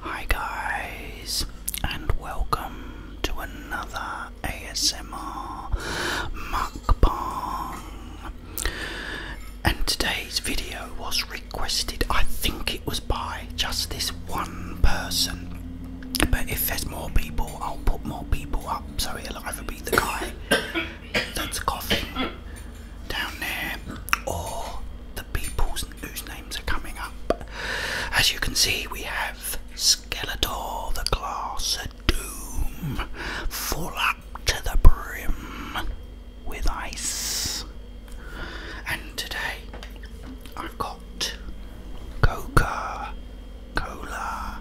Hi, guys, and welcome to another ASMR mukbang and today's video was requested. I think it was by just this one person. But if there's more people, I'll put more people up, Sorry, i will either be the guy that's coughing down there or the people whose names are coming up. As you can see, we have Skeletor, the Glass of Doom, Fallout to the brim with ice. And today I've got Coca Cola.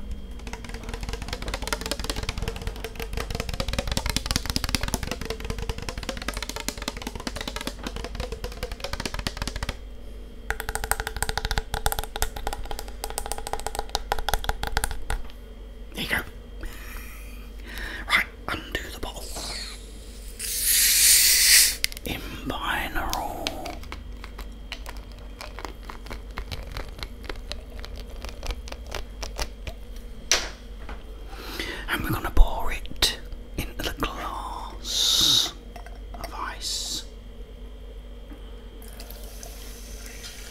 There you go. Right, undo the bottle. In And we're going to pour it into the glass of ice.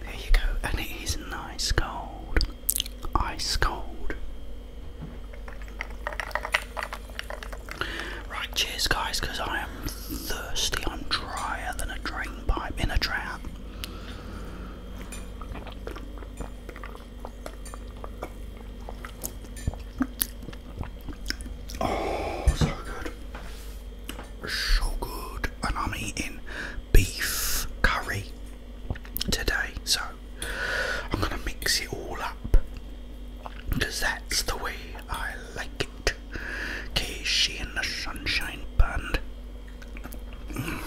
There you go, and it is nice cold. Ice cold. Right, cheers, guys, because I am thirsty. I'm drier than a drain pipe in a drought. Oh, so good. So good. And I'm eating beef curry today. So I'm going to mix it all up because that's the way I like it. Casey and the Sunshine Band. Mm.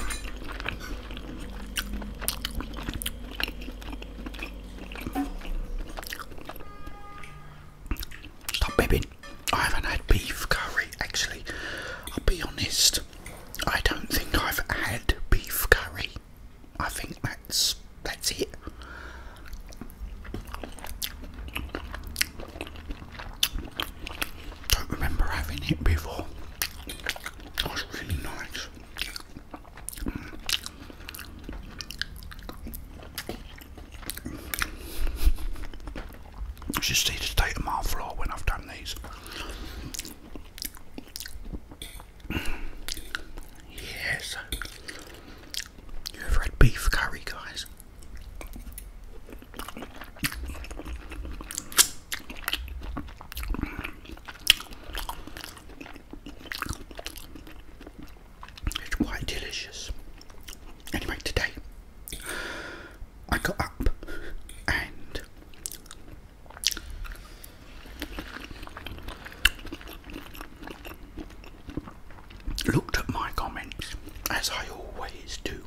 Stop bibbing. I haven't had beef curry actually. I'll be honest. I don't think I've had beef curry. I think that's that's it. Don't remember having it before. That's really nice. You should see the state of my floor when I've done these. Yes. You ever had beef curry, guys? It's quite delicious. Anyway, today I got up and looked at my comments as I always do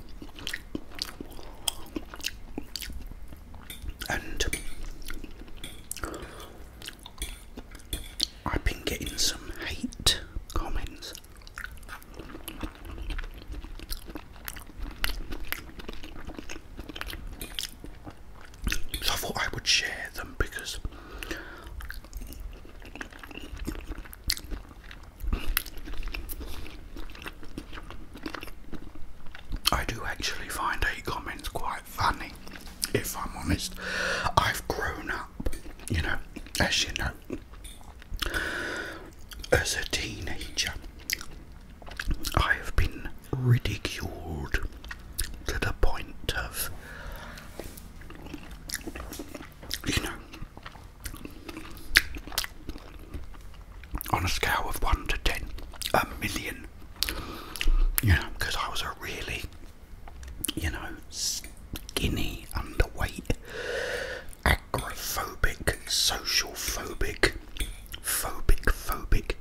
and I've been getting some hate comments. So I thought I would share them because I do actually find hate comments quite funny, if I'm honest. I've grown up, you know, as you know, as a teenager, I have been ridiculed to the point of, you know, on a scale of 1 to 10, a million. You know, because I was a really, you know, skinny, underweight, agoraphobic, social phobic, phobic, phobic.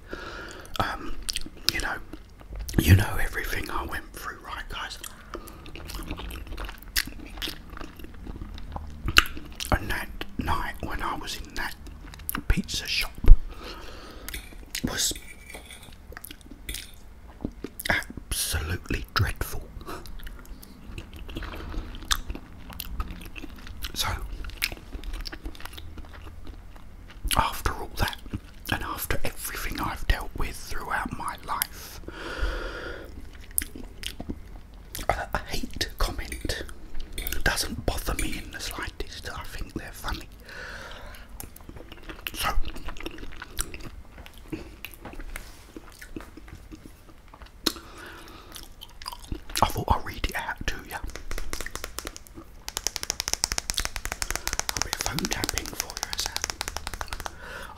Um, you know, you know everything I went through, right, guys? And that night when I was in that pizza shop was absolutely dreadful. So, after all that, and after everything I've dealt with throughout my life, a hate comment doesn't bother me I think they're funny. So, I thought I'll read it out to you.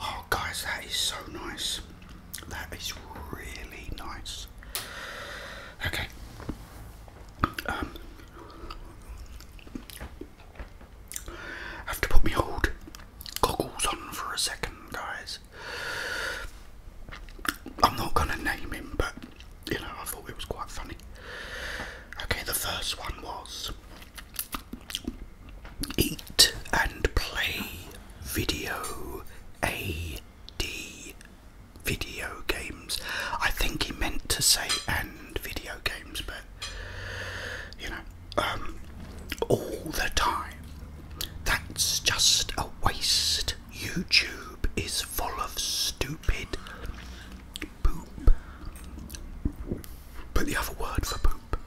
Oh, guys, that is so nice. That is really nice. Okay. Um, have to put my old goggles on for a second, guys. I'm not gonna name him, but you know, I thought it was quite funny. Okay, the first one was Eat and Play Video A D video games. I think he meant to say and video games, but you know, um, all the time. That's just a waste. YouTube is full of stupid poop. But the other word for poop.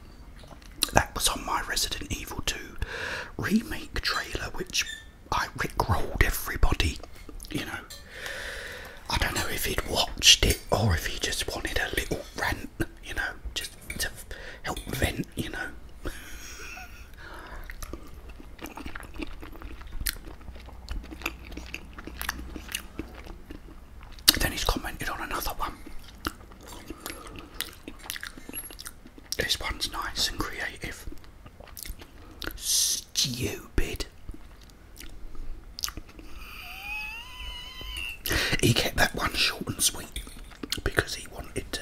That was on my Resident Evil 2 remake trailer, which I rickrolled everybody, you know. I don't know if he'd watched it or if he just wanted a little rant, you know, just to help vent, you know. Then he's commented on another one. This one's nice and creative. Stupid. He kept that one short and sweet because he wanted to.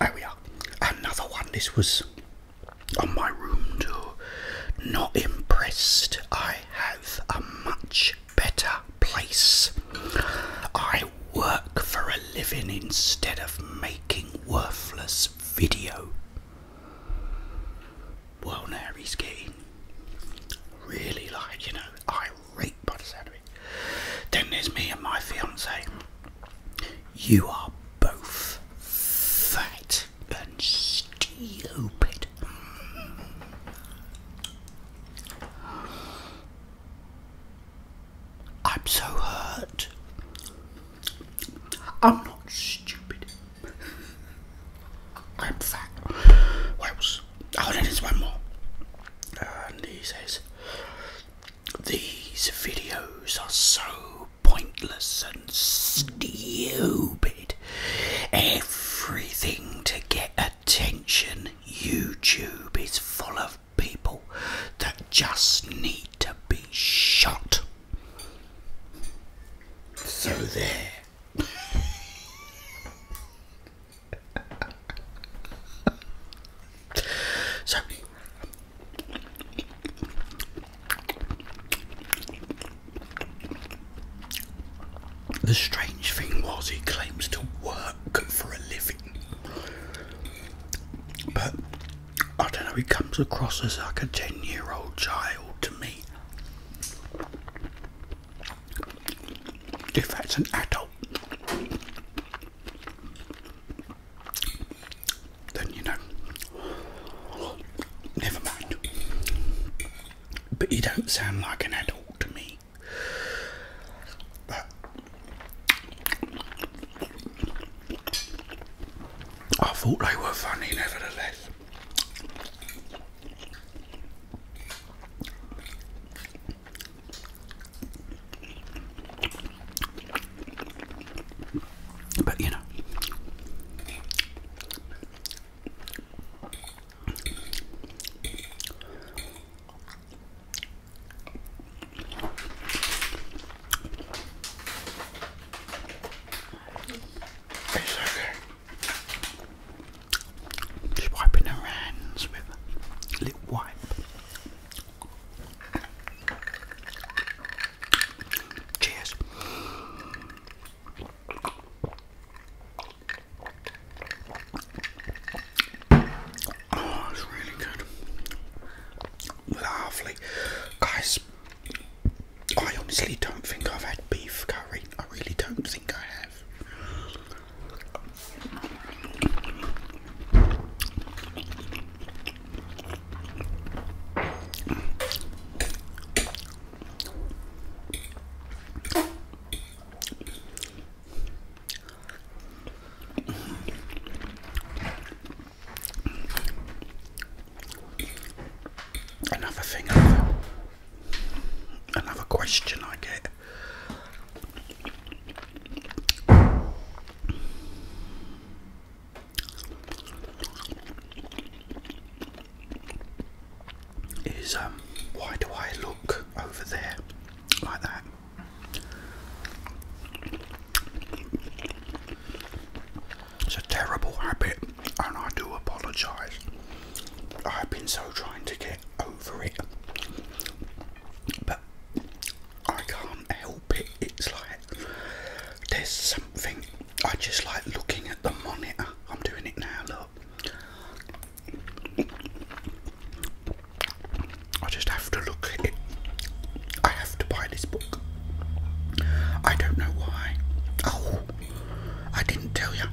Oh yeah, another one. This was on my room door. Not impressed. I have a much better place. I work for a living instead of making worthless video. Well, now he's getting really like, you know, irate by the sound of it. Then there's me and my fiance. You are both fat and stupid. I'm so hurt. I'm not stupid. I'm fat. What else? Oh, there is one more. And he says, These videos are so pointless and stupid. Everything to get attention. YouTube is full of people that just need to be shot. So there. so the strange thing was he claims to work for a living. But I don't know, he comes across as like a 10 year old child to me. If that's an adult, then you know, never mind. But you don't sound like an adult to me. I thought they were funny, nevertheless. But you know, it's wiping her hands with a little wipe. Cheers. Oh, it's really good. Lovely. Guys, I honestly don't think I've had beef curry. I really don't think I have. Another thing, another, question I get. Is um, why do I look over there? like that. It's a terrible habit, and I do apologise. I've been so trying to get over it, but I can't help it. It's like there's something I just like looking at the monitor. I'm doing it now, look. I just have to look at it. I have to buy this book. I don't know why. Oh, I didn't tell you.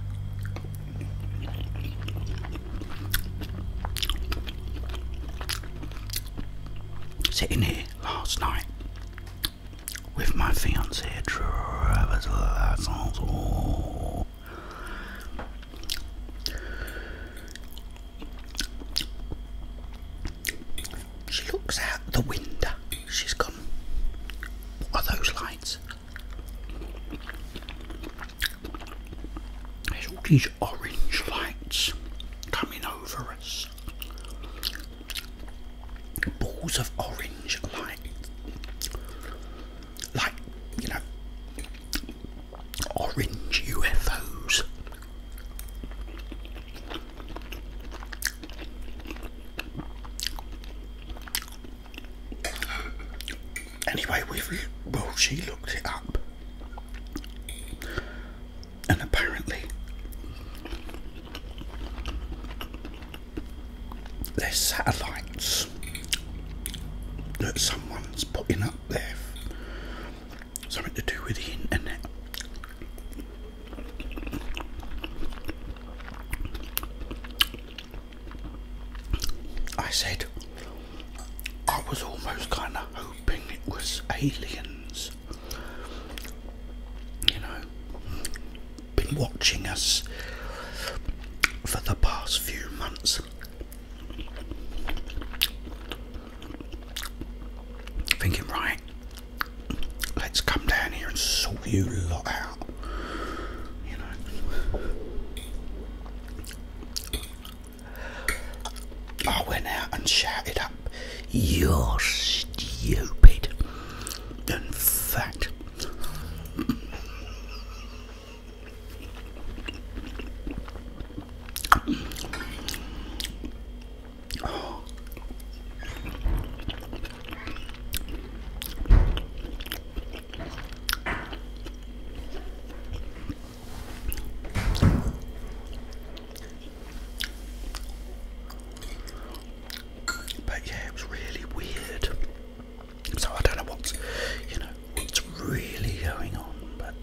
Sitting here last night with my fiancée, Travis she looks out the window. She's gone. What are those lights? There's all these orange lights coming over us. Balls of orange light like you know orange UFOs. Anyway, well, she looked it up, and apparently they're satellites that someone's putting up there. Something to do with the internet. I said I was almost kind of hoping it was aliens, you know, been watching us for the past few months thinking right let's come down here and sort you lot out you know I went out and shouted up you're stupid and fat but yeah, it was really weird. So I don't know what's, you know, what's really going on, but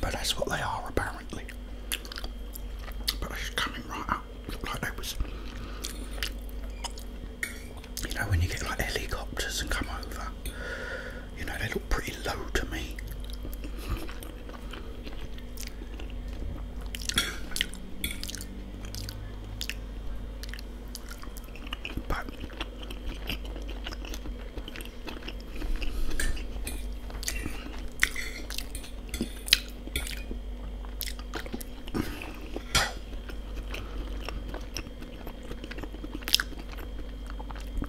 but that's what they are apparently. But it's coming right up. like they was you know when you get like helicopters and come over, you know they look pretty low to me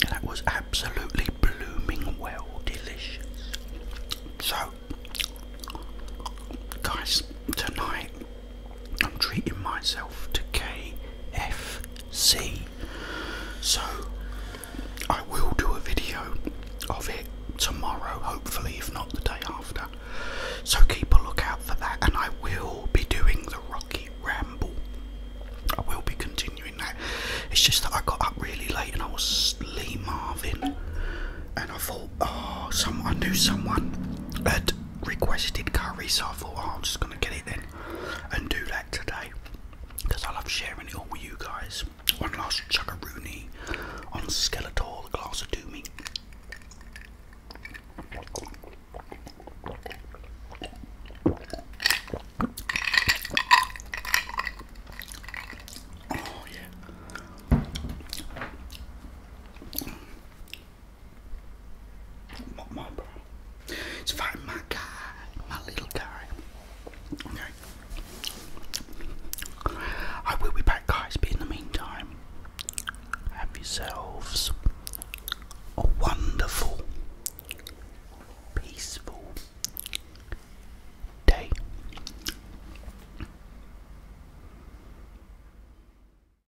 that was absolutely blooming well delicious. So, guys, tonight I'm treating myself to KFC. So I will do a video of it tomorrow, hopefully, if not the day after. So keep a look out for that, and I will be doing the Rocky Ramble. I will be continuing that. It's just that I got up really late and I was Lee Marvin, and I thought, oh, some I knew someone had requested curry, so I thought, oh, I'm just gonna get it then and do that today because I love sharing it all with you guys. One last chuckaroony on Skeletor, the glass of Doomy. Oh yeah. It's very my guy, my little guy. Okay. I will be back, guys, but in the meantime, have yourselves a wonderful, peaceful day.